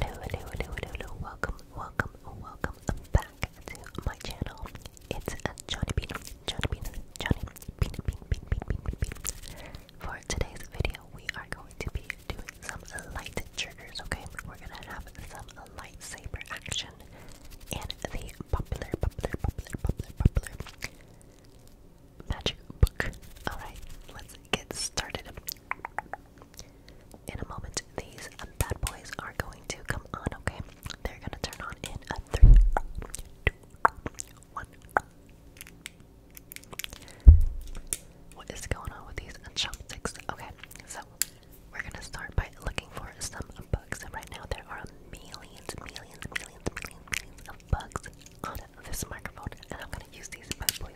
Hello, hello, hello, hello, welcome, welcome, welcome back to my channel. It's Johnny Bean, Johnny Bean, Johnny Bean, Bean, Bean, Bean, Bean, For today's video, we are going to be doing some light triggers, okay? We're gonna have some lightsaber action and the popular, popular, popular, popular, popular magic book. Alright, let's get started in a moment, these bad boys are going to come on, okay? They're gonna turn on in a three, two, one. What is going on with these chopsticks? Okay, so we're gonna start by looking for some bugs, right now there are millions, millions, millions, millions, millions of bugs on this microphone, and I'm gonna use these bad boys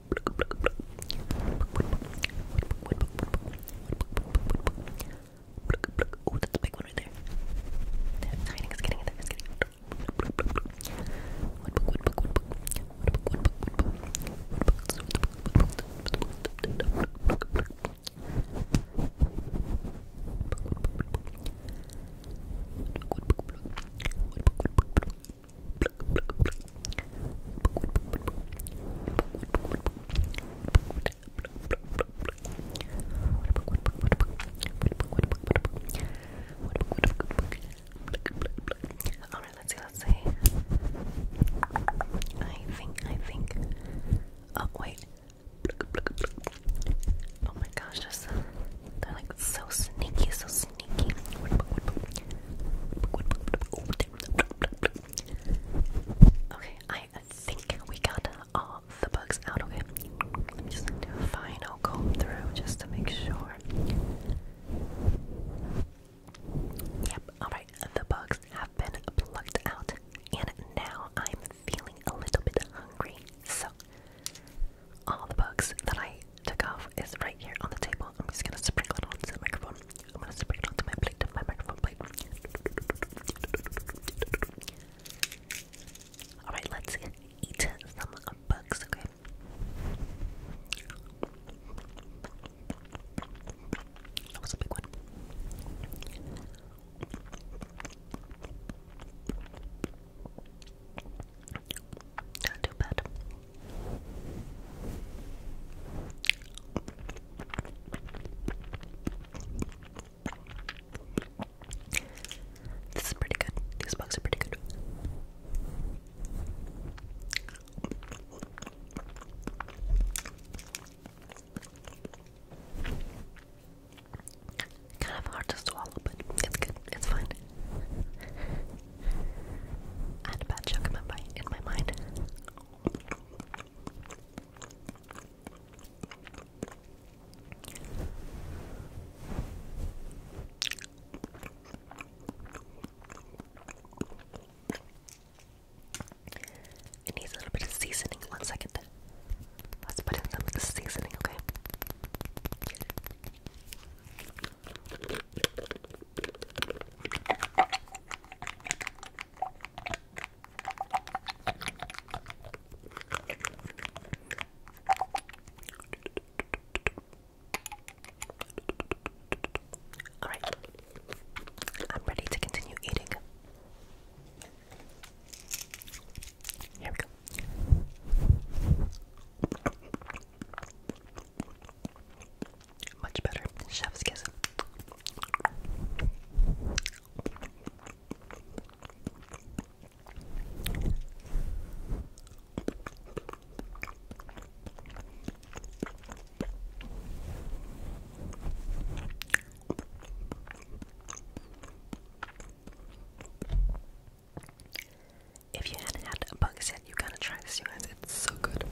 Oh, that's a big one right there. That's hiding, it's getting it, it's getting it. What book, what book, what book? What book, what book, what book? What book, all right, let's see, let's see. I think, I think. Oh wait. Oh my gosh, just they're like so sneaky, so sneaky. Oh, Okay, I think we got all the bugs out. Okay, let me just do a final comb through just to make sure. Yep, alright, the bugs have been plucked out, and now I'm feeling a little bit hungry. So, all the bugs that I took off is right here on the table. I'm just gonna sprinkle it onto the microphone. I'm gonna spray it onto my plate, my microphone plate. Alright, let's eat some bugs, okay? That was a big one. Not too bad. This is pretty good. These bugs are pretty good. Kind of hard to swallow, but it's good. It's fine. I had a bad joke in in my mind. It needs a little bit of seasoning. One second. Let's put in some seasoning, okay? All right, I'm ready to continue eating. Here we go. Much better. Chef's kiss. If you hadn't had a bug said, you gotta try this, you guys. It's so good.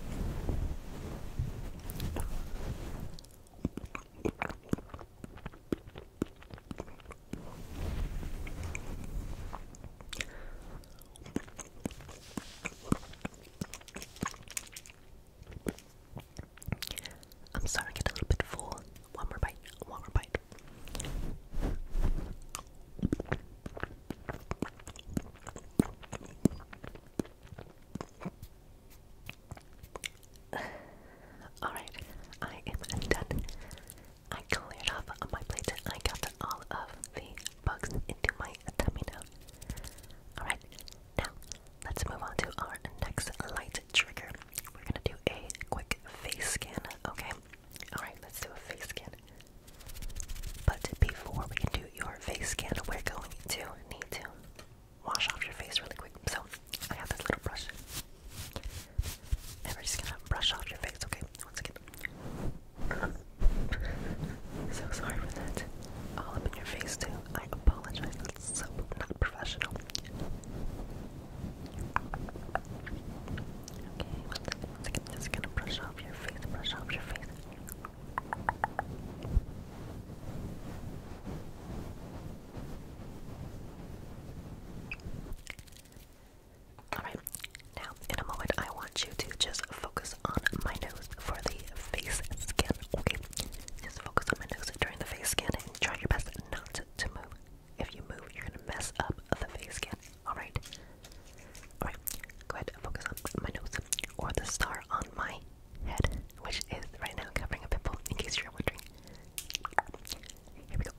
I'm starting to get a little bit full. One more bite, one more bite. Alright, I am done. I cleared off my plate and I got all of the bugs into my tummy now. Alright, now let's move on to our next light trigger. We're gonna do a quick face scan, okay? Alright, let's do a face scan. But before we can do your face scan, we're going to need to wash off your face really quick. So I have this little brush. And we're just gonna brush off your face, okay? Once again. so sorry for that. All up in your face too. I apologize. That's so not professional. Okay, one second, one second. Just gonna brush off your face, brush off your face. Alright, now in a moment, I want you to just focus on my nose for the face scan. Okay, just focus on my nose during the face scan and try your best not to move. If you move, you're gonna mess up the face scan. Alright, Alright, go ahead focus on my nose or the star on my head, which is right now covering a pimple, in case you're wondering. Here we go.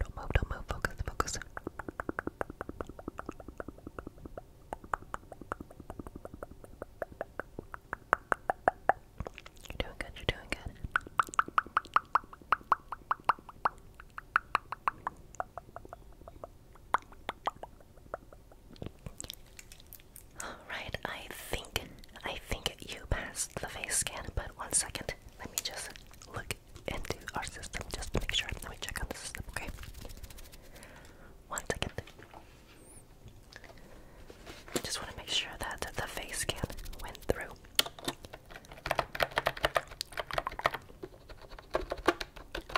Don't move, don't move, focus, focus. You're doing good, you're doing good. Alright, I think I think you passed the face scan, but one second, let me just look into our system just make sure. Let me check on the system, okay? One second. I just want to make sure that the face scan went through.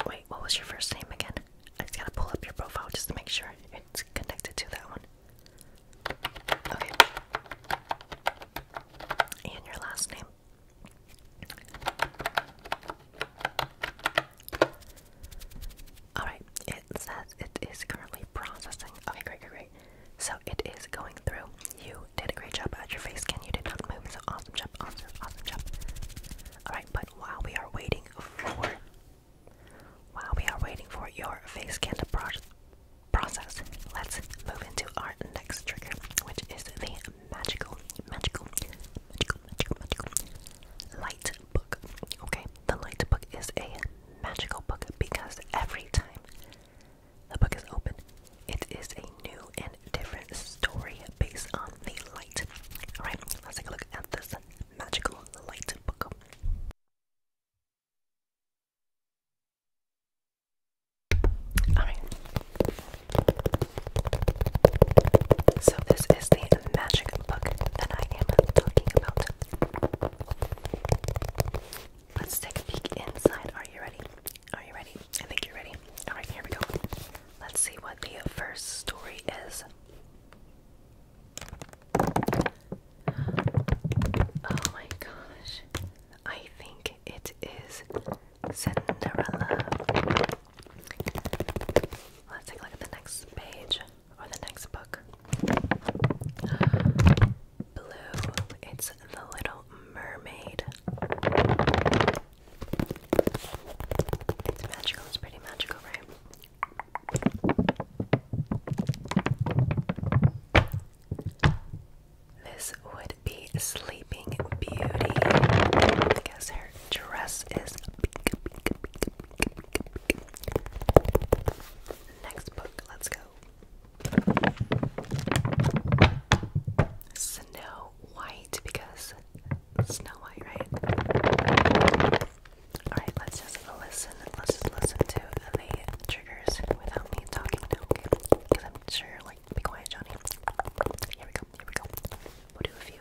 Wait, what was your first name again? I just gotta pull up your profile just to make sure it's connected to that one. Okay. And your last name. Alright, it says it is currently processing. Okay, great, great, great. So it is going through. You did a great job at your face scan. You did not move. awesome job, awesome, awesome job. Alright, but while we are waiting for while we are waiting for your face scan to pro process, let's move into our next trigger, which is the magical, magical, magical, magical, magical light book. Okay, the light book is a magical book because every time the book is open, it is a new and different story based on the light. Alright, let's take a look at this magical light book. So this is the magic book that I am talking about. Let's take a peek inside. Are you ready? Are you ready? I think you're ready. Alright, here we go. Let's see what the first story is. Oh my gosh. I think it is Cinderella. Let's take a look at the next page or the next book. Blue, it's The Little Mermaid. It's magical, it's pretty magical, right? This would be Sleeping Beauty. I her dress is Next book, let's go. Snow White because Snow White, right? Alright, let's just listen. Let's just listen to the triggers without me talking okay? Because I'm sure, like, be quiet, Johnny. Here we go, here we go. We'll do a few.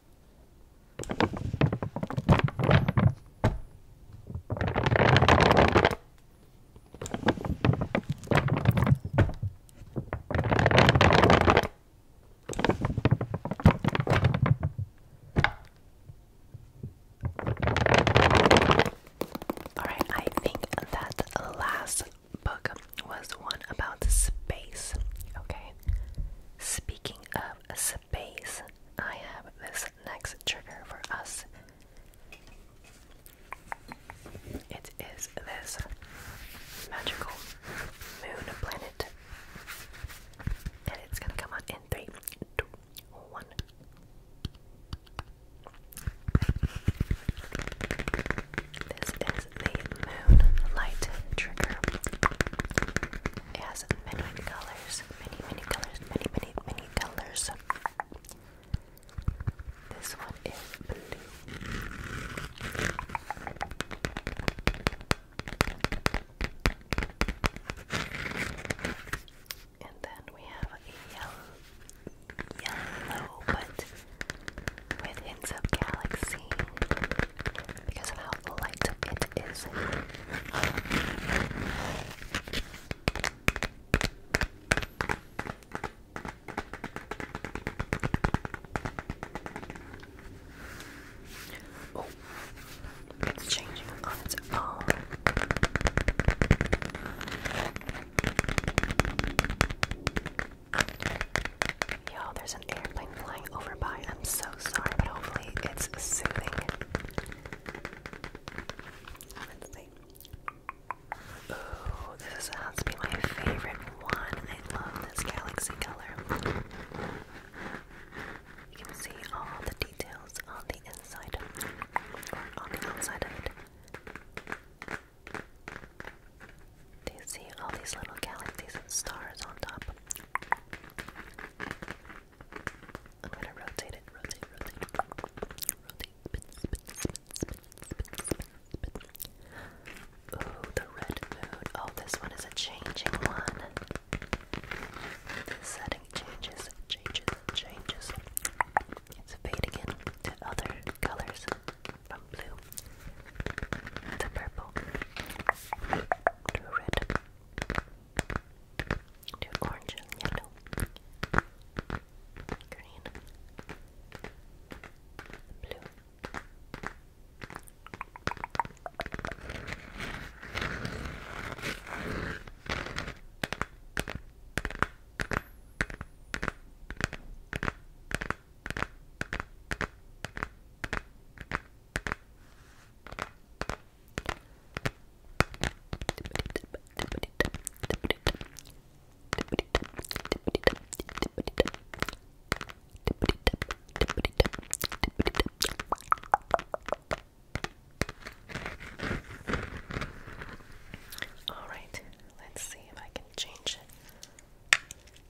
All right, I think that last book was one about space. Okay. Speaking of space, I have this next trigger for us. It is this magical moon planet. And it's gonna come on in three, two, one is the Moon Trigger. It has many, many colors. Many, many colors. Many, many, many colors. This one is blue. And then we have a yellow, yellow, but with hints galaxy because of how light it is. Oh, it's changing on its own. Yo, there's an airplane flying over by. I'm so sorry, but hopefully it's soothing. let this has to be my favorite one. I love this galaxy color. You can see all the details on the inside or on the outside of it. Do you see all these little galaxies and stars on top? I'm gonna rotate it, rotate, rotate, rotate, spin, Ooh, the red Oh, this one is a changing one. The setting changes, changes, changes. It's fading into other colors from blue to purple to red to orange and yellow, green, blue. Blue, all right, let's see if I can change it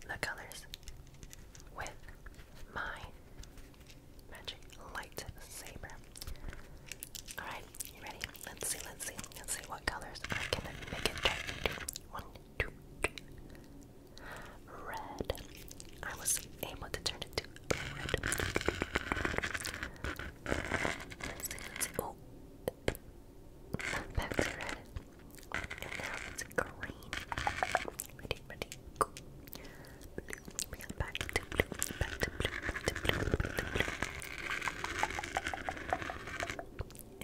the colors with my magic lightsaber. Alright, you ready? Let's see, let's see, let's see what colors I can make it turn into. Red. I was able to turn it to red. Oh. Back red. And now it's green. Ready, ready, go. We got back to blue, back to blue, to blue, to blue.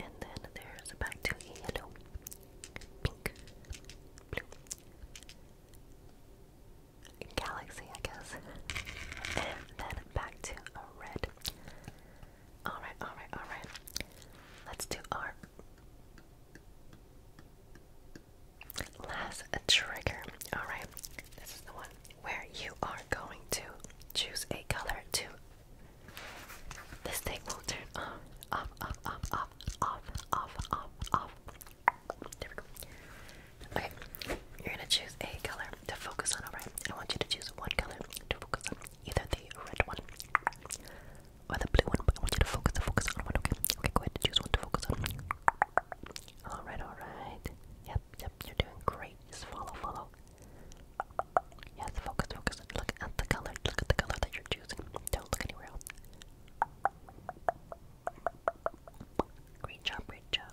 And then there's back to yellow, pink, blue. Galaxy, I guess. And then back to a red. Alright, alright, alright. Let's do our Last trigger. Alright, this is the one where you are going to choose a color to. This thing will turn off, off, off, off, off, off, off, off. Okay, you're gonna choose a color to focus on, alright? I want you to choose one color to focus on. Either the red one, or the blue one, I want you to focus the focus on one, okay? Okay, go ahead and choose one to focus on. Alright, alright. Yep, yep, you're doing great. Just follow, follow. Yes, focus, focus. Look at the color. Look at the color that you're choosing. Don't look anywhere else. Great job, great job.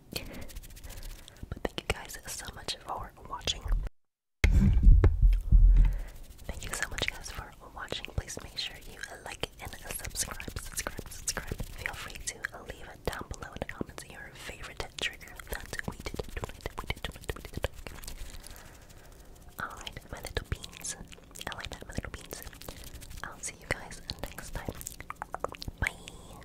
but thank you guys so much for watching. Thank you so much, guys, for watching. Please make sure you like and subscribe, subscribe, subscribe. Feel free to leave it down below in the comments your favorite trigger Alright, my little beans. I like that, my little beans. I'll see you guys next time. Bye.